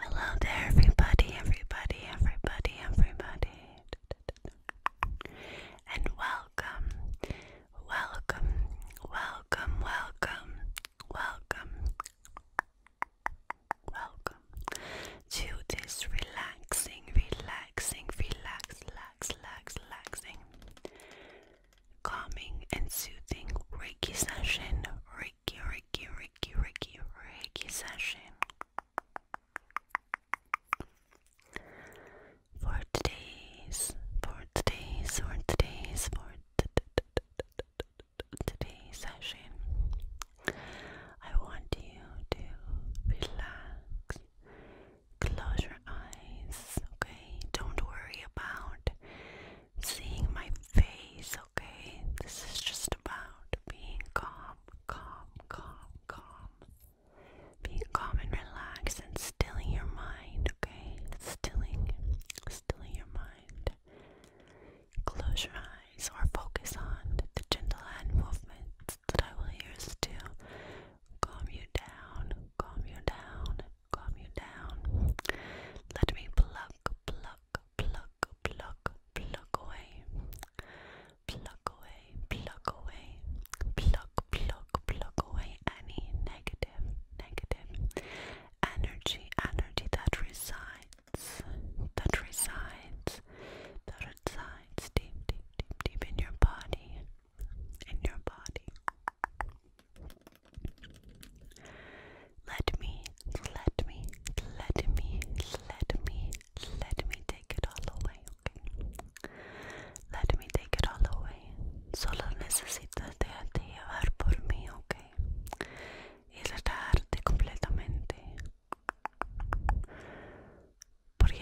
Hello there, everybody, everybody, everybody, everybody, and welcome, welcome, welcome, welcome, welcome, welcome to this relaxing, relaxing, relaxing relax, relax, relaxing, calming and soothing Reiki session. Reiki, Reiki, Reiki, Reiki, Reiki session. For today's, for today's, for today's, for today's session, I want you to relax, Close your eyes, okay? Don't worry about seeing my face, okay? This is just about being calm, calm, calm, calm. Being calm and relaxed and stilling your mind, okay? Stilling, stilling your mind. Close your eyes or focus on the gentle hand movements that I will use to calm you down, calm you down, calm you down. Let me pluck, pluck, pluck, pluck, pluck away. Pluck away, pluck away, pluck, pluck, pluck away any negative, negative energy, energy that resides, that resides, that resides resides deep, deep, deep, deep in your body. In your body. Let me, let me, let me, let me, let me take it all away, okay? Let me take it all away. Solo necesitas dejarte llevar por mí, okay? Y tratarte completamente. ¿Por qué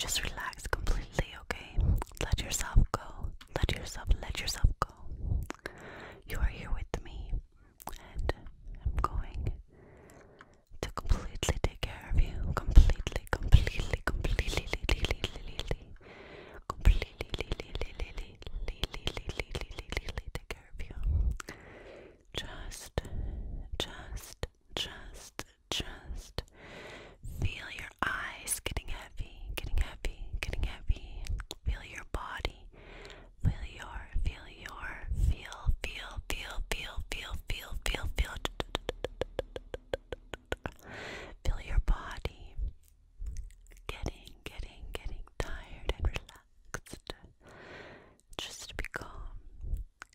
Just relax completely, okay? Let yourself go. Let yourself, let yourself go. You are here with me, and I'm going to completely take care of you. completely, completely, completely completely take care of you. Just, just, just, just feel your eyes getting heavy, getting heavy, getting heavy. Feel your body. Feel your, feel your, feel, feel, feel, feel, feel, feel, feel, feel. Feel your body getting, getting, getting tired and relaxed. Just be calm.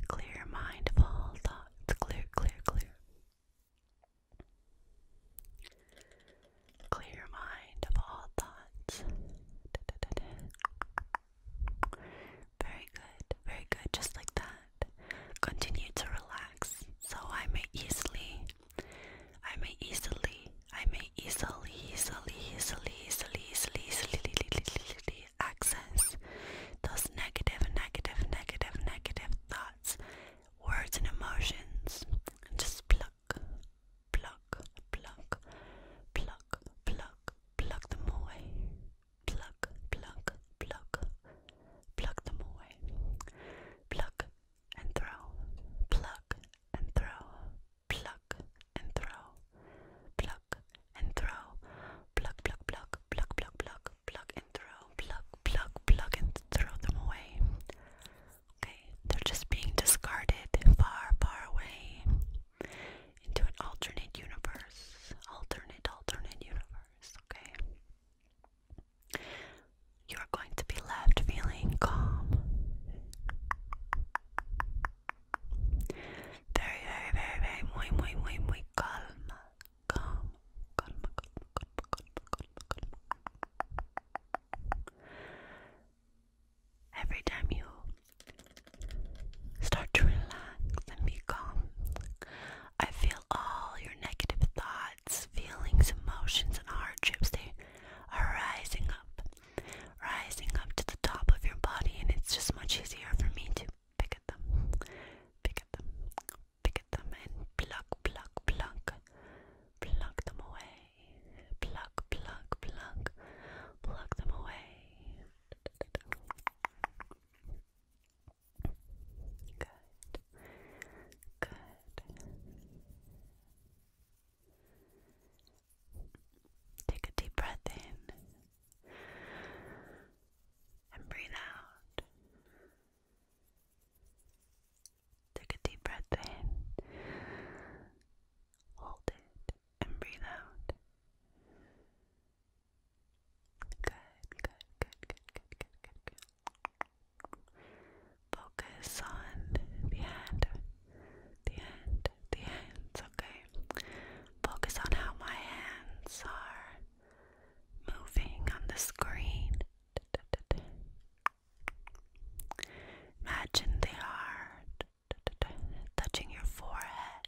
Clear mind of all thoughts. Clear, clear, clear. Clear mind of all thoughts. Very good, very good, just like that continue to relax so I may easily I may easily I may easily easily easily easily easily easily access those negative negative negative negative thoughts words and emotions and just pluck pluck pluck pluck pluck pluck them away pluck pluck pluck Pluck them away. Pluck and throw. Pluck and throw. Pluck and throw. Pluck and throw. Pluck, pluck, pluck, pluck, pluck, pluck, pluck and throw. Pluck, pluck, pluck and throw them away. Okay, they're just being discarded far, far away into an alternate universe. Alternate, alternate universe. Okay. You are going to be left feeling calm. Very, very, very, very, muy, muy, muy, muy calma. Calm, calma, calma, calma, calma, calma, calma. Every time you start to relax and be calm, I feel all your negative thoughts, feelings, emotions, and hardships. They are rising up, rising up to the top of your body, and it's just much easier for me to pick at them, pick at them, pick at them, and pluck, pluck, pluck, pluck them away, pluck, pluck, pluck, pluck them away. Good. Good. Take a deep breath in and breathe out. Take a deep breath in, hold it, and breathe out. Good, good, good, good, good, good, good, Focus on the hand, the hand, the hands, okay? Focus on how my hands are moving on the screen. Imagine they are touching your forehead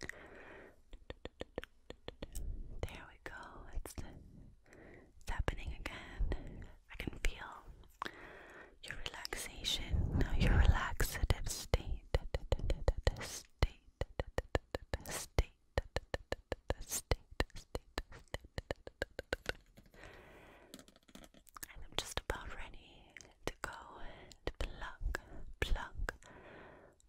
There we go. It's, it's happening again. I can feel your relaxation. your relaxative state. State. State. State. State. State. And I'm just about ready to go and pluck, pluck,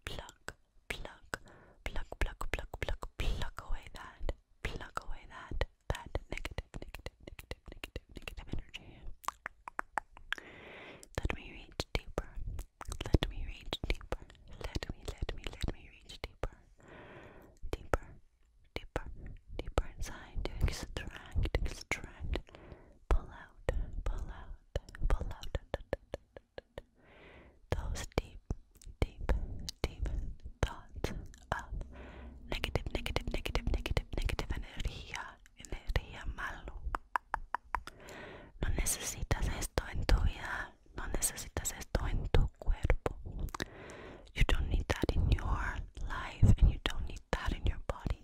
pluck, pluck, pluck, pluck, pluck, pluck, pluck away that, pluck away that, that negative, negative, negative, negative, negative energy. Let me reach deeper. Let me reach deeper. Let me, let me, let me reach deeper. Deeper, deeper, deeper inside to extract, extract, pull out, pull out, pull out those deep, deep, deep thoughts of negative, negative, negative, negative, negative energía, energía malo. No necesitas esto en tu vida, no necesitas esto en tu cuerpo. You don't need that in your life and you don't need that in your body.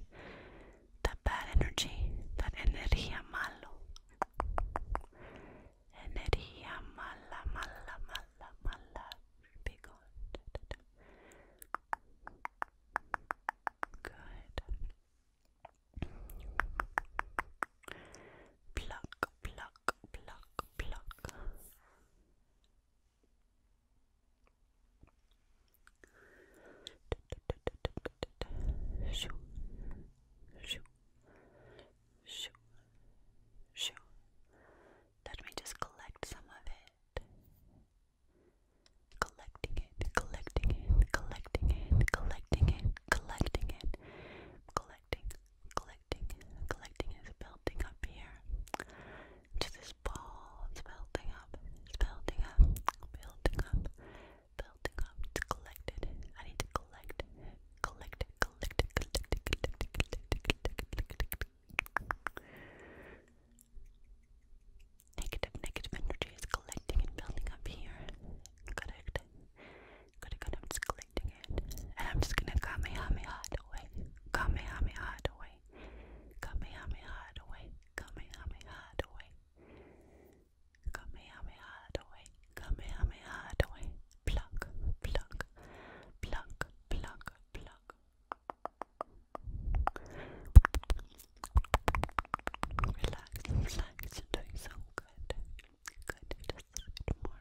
That bad energy, that energía malo. Energía mala, mala, mala, mala. Good. Pluck, pluck, pluck, pluck. Shoo, shoo, shoo, shoo. Let me just collect some of it. Collecting it, collecting it, collecting it, collecting it, collecting it, collecting, collecting, collecting is building up here. Just this ball. It's building up. It's building up. Building up. Building up. It's collected. I need to collect. Collect. Collect. Collect. Collect. Collect. Negative. Negative energy is collecting and building up here. Correct. Good. Good. I'm just collecting it, and I'm just gonna kamehameha it away. Kamehameha it away away. Kamehameha away. Kamehameha away. Kamehameha away. Kamehameha away. Pluck, pluck, pluck, pluck, pluck. Relax, relax. You're doing so good. Good. Just a bit more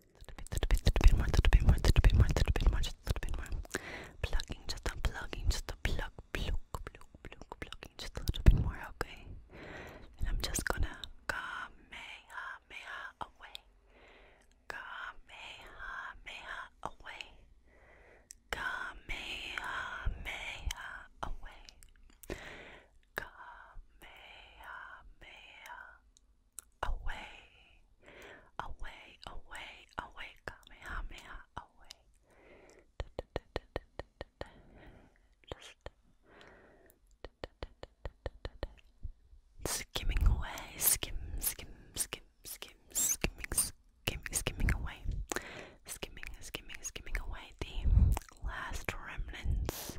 little bit, little bit more, little bit more, little bit little bit more, just a little bit more. Plugging, just a plugging, just a plug, plug, plug, plug, plugging, just a little bit more, okay? And I'm just gonna kamehameha away, kamehameha away, kamehameha away, kamehameha away, away, away, away, kamehameha, away. Just skimming away, skim, skim, skim, skim, skimming, skimming, skimming away, skimming, skimming, skimming away the last remnants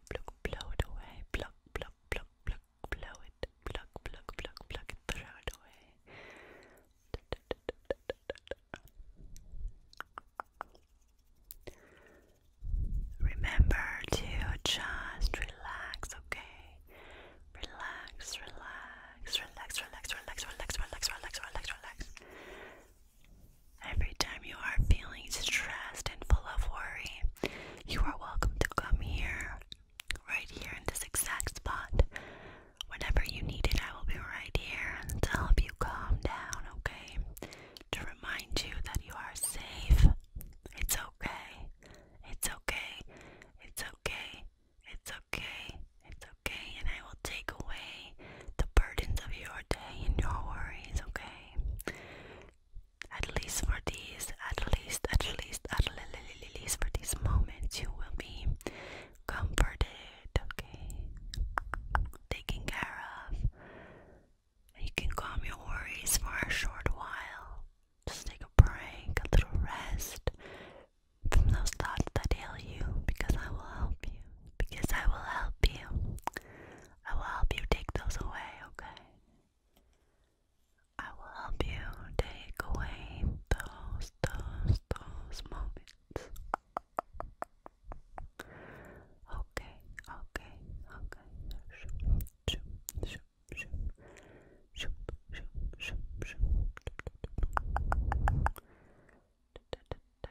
pluck, blow it away, pluck, pluck, pluck, pluck, blow it, pluck, pluck, pluck, pluck, and throw it away. Remember to just relax, okay? Relax, relax, relax, relax, relax, relax, relax, relax, relax, relax. Every time you are feeling stressed and full of worry, you are welcome to come here, right here in this exact spot. Whenever you need it, I will be right here to help you calm down, okay? To remind you that you are safe. It's okay. It's okay. It's okay. It's okay. It's okay. And I will take away the burdens of your day and your worries, okay? At least for this, at least, at least, at least for these moments, you will be comforted, okay? Taken care of. you can calm your worries for a short while. Just take a break, a little rest from those thoughts that ail you because I will help you. Because I will help you. I will help you take those away, okay? I will help you take away those, those, those moments. Okay, okay, okay. Shoop, shoop, shoop, shoop. Shoop, shoop, shoop, shoop. Da, da, da, da.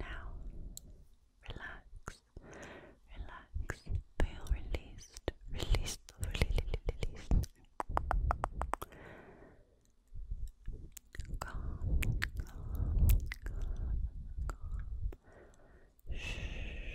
Now, relax, relax, feel released, released, released, released. Calm, calm, calm, calm. Shh.